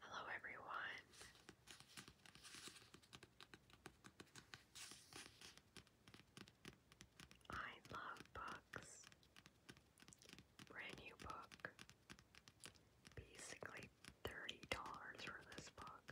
Hello, everyone. I love books. Brand new book. Basically, $30 for this book.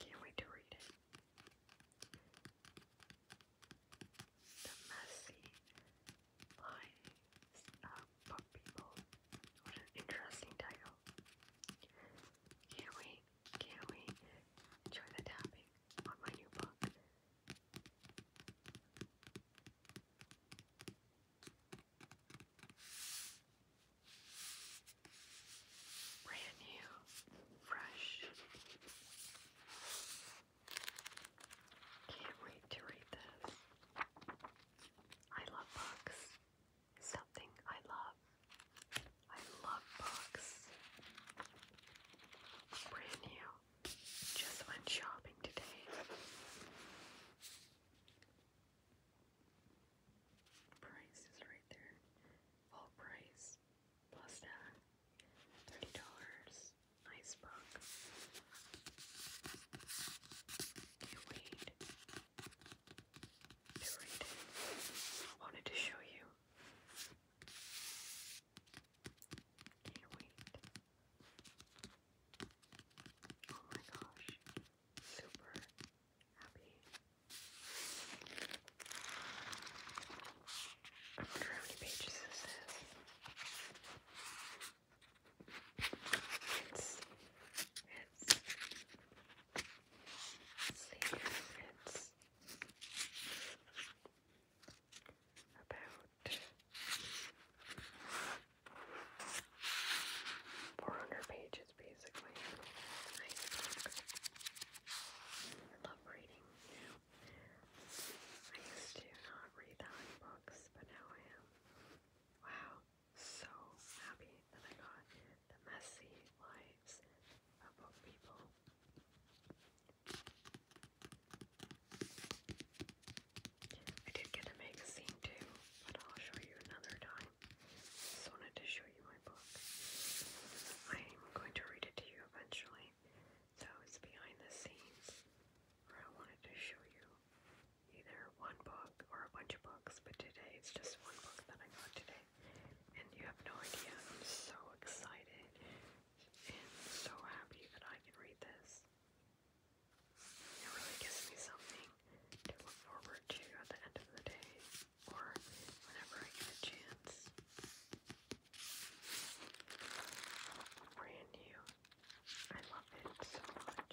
Can't wait to read it. The messy lives of Book People. What an interesting title. Can't wait, can't wait. Enjoy the tapping on my new book. Brand new, fresh. Can't wait to read this. I love books. Something I love. I love books. Brand new. Just went shopping today price is right there. Full price plus thirty dollars. Nice Can't wait to Wanted to show you. Can't wait. Oh my gosh. Super happy. I wonder how many pages this is. It's it's it's about 400 pages basically. I love reading. I used to not read that many books, but now I am. Wow, so happy that I got The Messy Lives of Book People. I did get a magazine too, but I'll show you another time. Just wanted to show you my book. I'm going to read it to you eventually. So it's behind the scenes where I wanted to show you either one book or a bunch of books, but today it's just one book that I got today. And you have no idea. I'm so excited so happy that I can read this. It really gives me something to look forward to at the end of the day or whenever I get a chance. Brand new. I love it so much.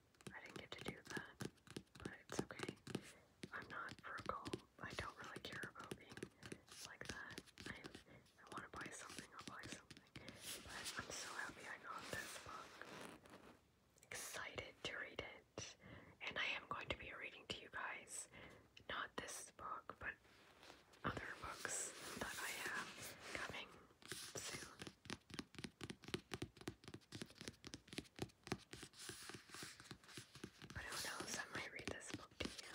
I didn't get to do that, but it's okay. I'm not frugal. I don't really care about being like that. I, want to buy something, I'll buy something. But I'm so happy I got this book. Excited to read it. And I am going to be reading to you guys not this book, but other books that I have coming soon. But who knows, I might read this book to you.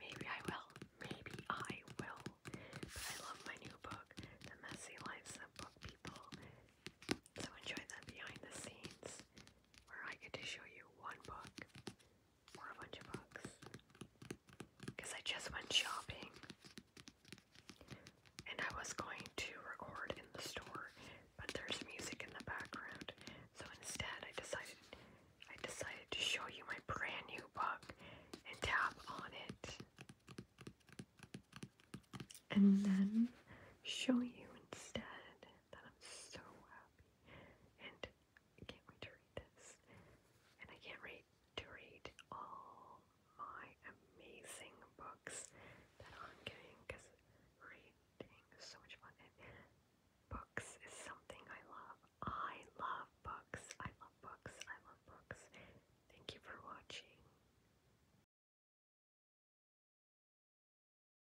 Maybe I will. Maybe I will. But I love my new book, The Messy Lives of Book People. So enjoy that behind the scenes where I get to show you one book or a bunch of books. Because I just went shopping and I was going to record in the store, but there's music in the background. So instead I decided I decided to show you my brand new book and tap on it. And then show you instead that I'm so happy and can't wait to read this. And I can't wait to read all my amazing books that I'm getting because reading is so much fun. books is something I love. I love books. I love books. I love books. Thank you for watching.